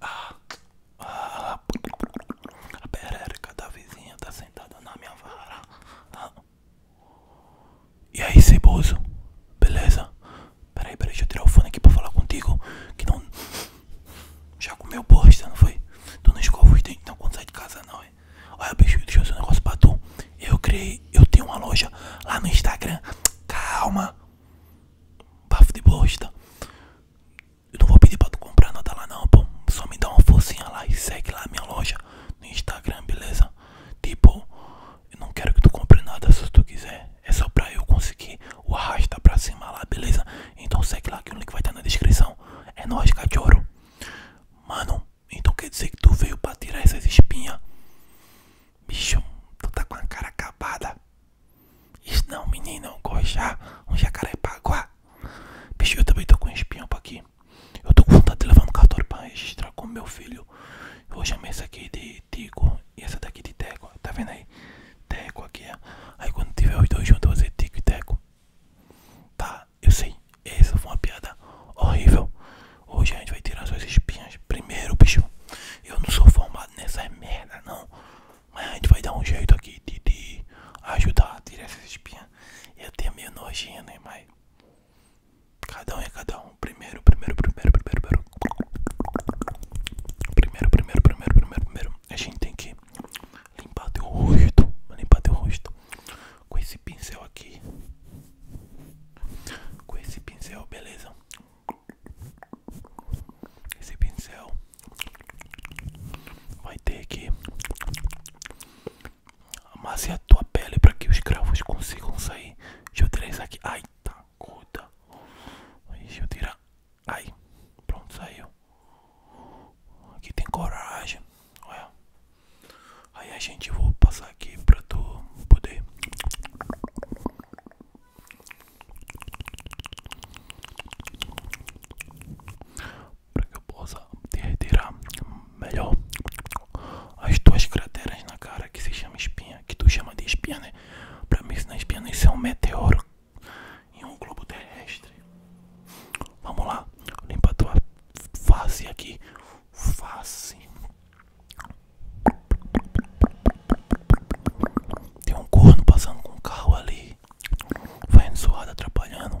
a perereca da vizinha tá sentada na minha vara. Tá? E aí, ceboso? Beleza? Peraí, peraí, deixa eu tirar o fone aqui pra falar contigo. Que não. Já comeu bosta, não foi? Tu não escova os dentes, não, quando sai de casa, não, é? Olha, bicho, deixa eu fazer um negócio pra tu. Eu criei, eu tenho uma loja lá no Instagram. Calma. Bafo de bosta. Eu não vou pedir pra tu comprar nada lá não, pô. Só me dá uma forcinha lá e segue lá a minha loja no Instagram, beleza? Tipo, eu não quero que tu compre nada se tu quiser. É só pra eu conseguir o arrasta pra cima lá, beleza? Então segue lá que o link vai estar tá na descrição. É nóis, cachorro. Mano, então quer dizer que tu veio pra tirar essas espinhas? Bicho, tu tá com a cara acabada. Isso não, menino, um coxá, um jacaré paguá. Bicho, eu também tô com um espinho aqui. Eu tô com vontade de levando um cartório pra registrar com meu filho. Eu chamar essa aqui de Tico e essa daqui de Teco. Tá vendo aí? Teco aqui, é. Aí quando tiver os dois juntos, eu vou dizer Tico e Teco. Tá, eu sei. Essa foi uma piada horrível. Hoje a gente vai tirar suas espinhas. Primeiro, bicho, eu não sou formado nessa merda não. Mas a gente vai dar um jeito aqui de, de ajudar a tirar essas espinhas. E até meio nojinha, né? Mas. Cada um é cada um. Primeiro, primeiro, primeiro, primeiro, primeiro. Primeiro, primeiro, primeiro, primeiro, primeiro. A gente tem que limpar teu rosto. Limpar teu rosto. Com esse pincel aqui. Com esse pincel, beleza? Esse pincel vai ter que amaciar a tua pele para que os cravos consigam sair. Deixa eu tirar isso aqui. Ai, tá gorda. Deixa eu tirar. Ai, pronto, saiu. Aqui tem coragem. Olha. Aí a gente vou passar aqui para tu poder para que eu possa te retirar melhor as tuas crateras na cara que se chama espinha, que tu chama de espinha, né? Para mim, isso não é espinha, isso é um meteoro em um globo terrestre. Vamos lá, limpa tua face aqui, face. Tem um corno passando com um carro ali. Fazendo suado, atrapalhando.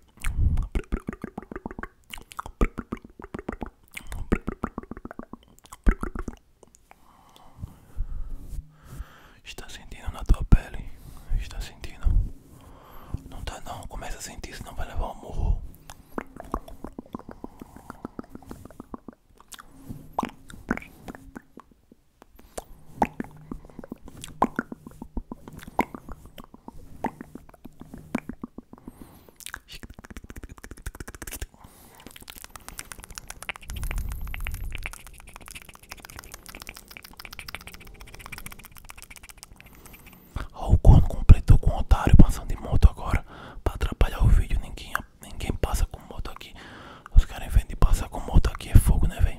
Está sentindo na tua pele? Está sentindo? Não está não, começa a sentir, senão vai levar um murro. Ó, o corno completou com o otário passando de moto agora para atrapalhar o vídeo, ninguém, ninguém passa com moto aqui Os caras inventam de passar com moto aqui, é fogo né véi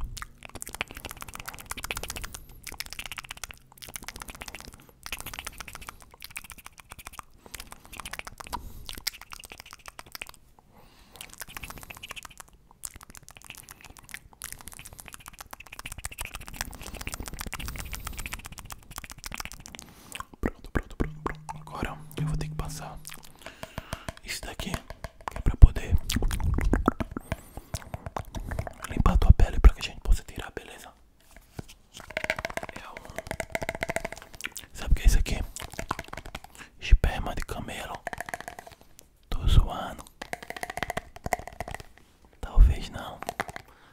Pronto, pronto, pronto, pronto. Agora eu vou ter que passar isso daqui Pra poder limpar a tua pele pra que a gente possa tirar, beleza? É um... Sabe o que é isso aqui? Esperma de camelo. Tô zoando. Talvez não.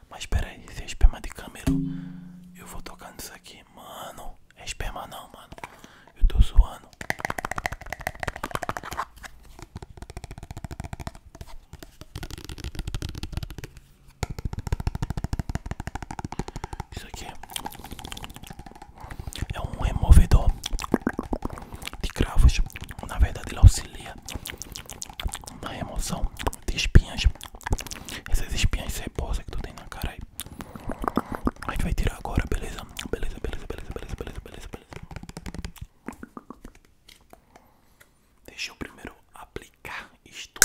Mas peraí, se é esperma de camelo, eu vou tocar nisso aqui. Mano, é esperma não, mano. Eu tô zoando. Isso aqui é um removedor de cravos. Na verdade, ele auxilia na remoção de espinhas. Essas espinhas ceposas que tu tem na cara aí. A gente vai tirar agora, beleza? Beleza, beleza, beleza, beleza, beleza, beleza. Deixa eu primeiro aplicar isto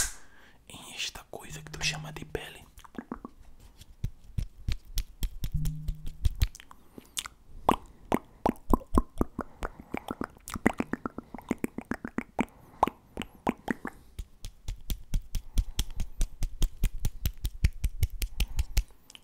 em esta coisa que tu chama de pele.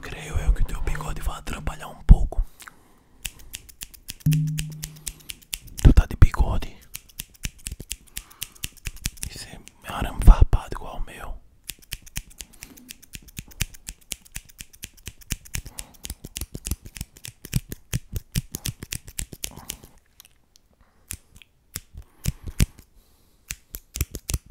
Creio eu que o teu bigode vai atrapalhar um pouco. Tu tá de bigode. Isso é arame farpado igual o meu.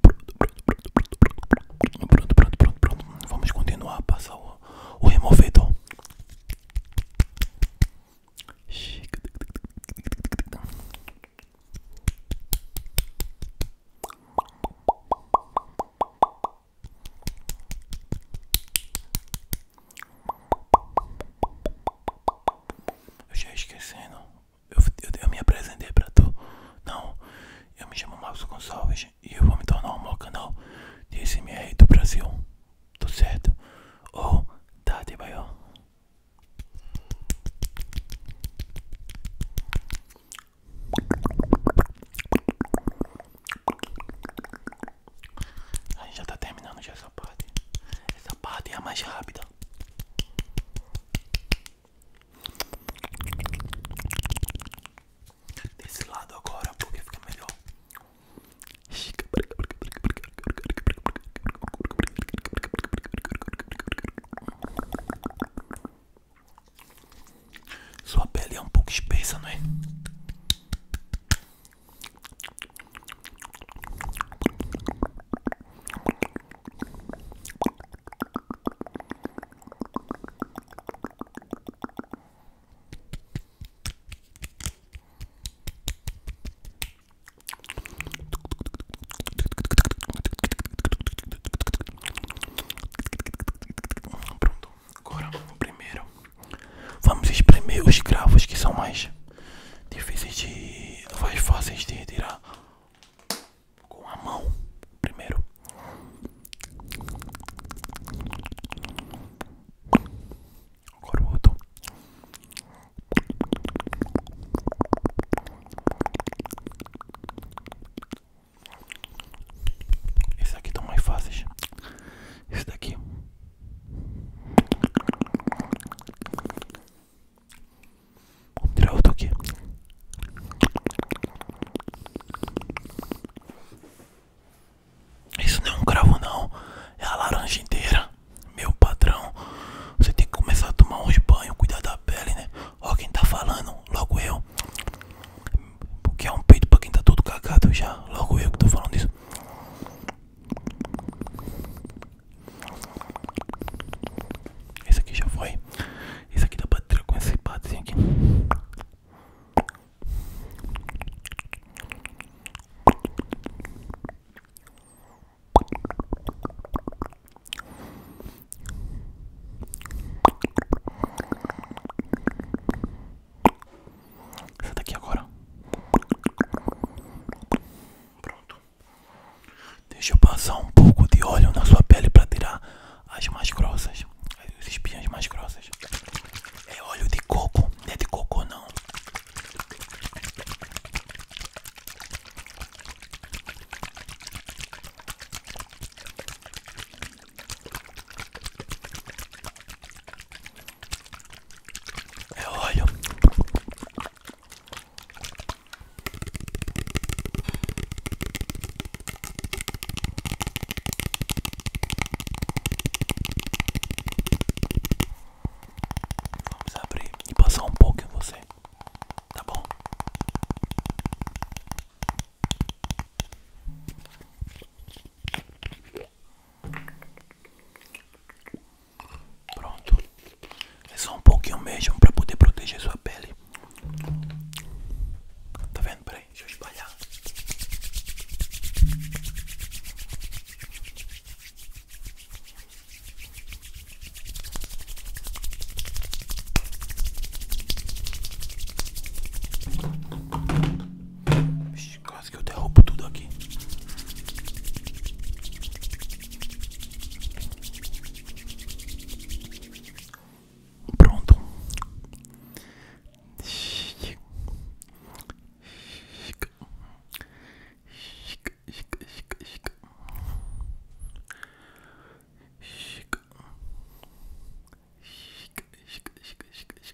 Pronto, pronto, pronto, pronto, pronto, pronto, pronto, pronto. Vamos continuar a passar o, o removedor. Eu já esquecendo eu, eu, me apresentei pra tu. Não, eu me chamo Marcos Gonçalves e eu vou me tornar o maior canal de SMR do Brasil. Tudo certo? Ou oh, tá de maior. A gente já tá terminando já essa parte. Essa parte é a mais rápida. Desse lado agora, porque fica melhor. Sua pele é um pouco espessa, não é? Pronto, agora o primeiro. Vamos espremer os cravos que são mais difícil de. não fáceis de retirar com a mão primeiro. Agora o outro. Esses aqui estão tá mais fáceis. Esse daqui. Vamos tirar outro aqui. Isso não é um cravo não, é a laranja inteira. Meu patrão, você tem que começar a tomar uns banhos, cuidar da pele, né? Ó quem tá falando, logo eu. Porque é um peito pra quem tá todo cagado já, logo eu que tô falando isso. Esse aqui já foi. Esse aqui dá pra tirar com esse patezinho aqui. Sai daqui agora. Pronto. Deixa eu passar um pouco de óleo na sua pele para tirar as mais grossas, as espinhas mais grossas. É óleo de coco, não é de coco não. É óleo. Vamos abrir e passar um pouco em você, tá bom? Pronto. É só um pouquinho mesmo para poder proteger sua pele. Tá vendo? Peraí, deixa eu espalhar. Pisca. Quase que eu derrubo tudo aqui. Pronto.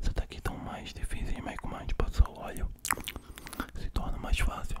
Essas daqui tão mais difícil e como a gente passou o óleo, se torna mais fácil.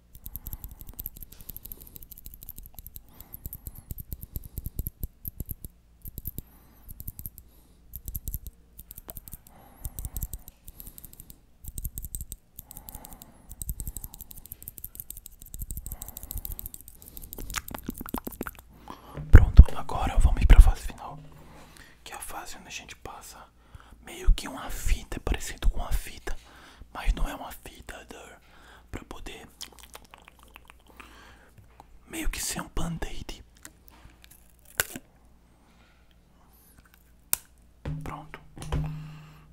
Pronto, agora vamos para a fase final, que é a fase onde a gente passa meio que uma fita, é parecido com uma fita mas não é uma fita para poder meio que ser um band Pronto,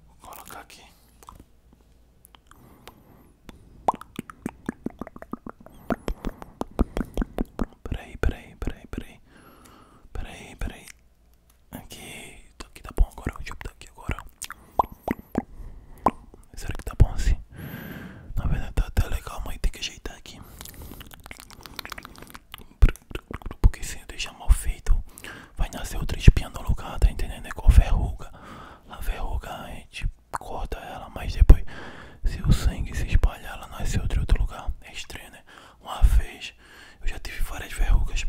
vou colocar aqui. Peraí, peraí, peraí, peraí. Peraí, peraí. Aqui, tô aqui, tá bom agora, o tipo tá aqui agora Será que tá bom assim? Na verdade tá legal, mas tem que ajeitar aqui Porque se deixa mal feito, vai nascer outra espinha no lugar, tá entendendo? É com verruga A verruga a gente corta ela, mas depois se o sangue se espalhar, ela nasce em outro lugar É estranho, né? Uma vez eu já tive várias verrugas.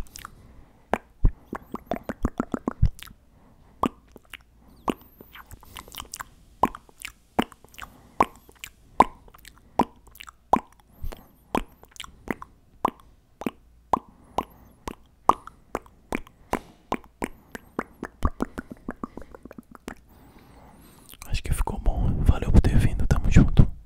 Acho que ficou bom. Valeu por ter vindo. Tamo junto.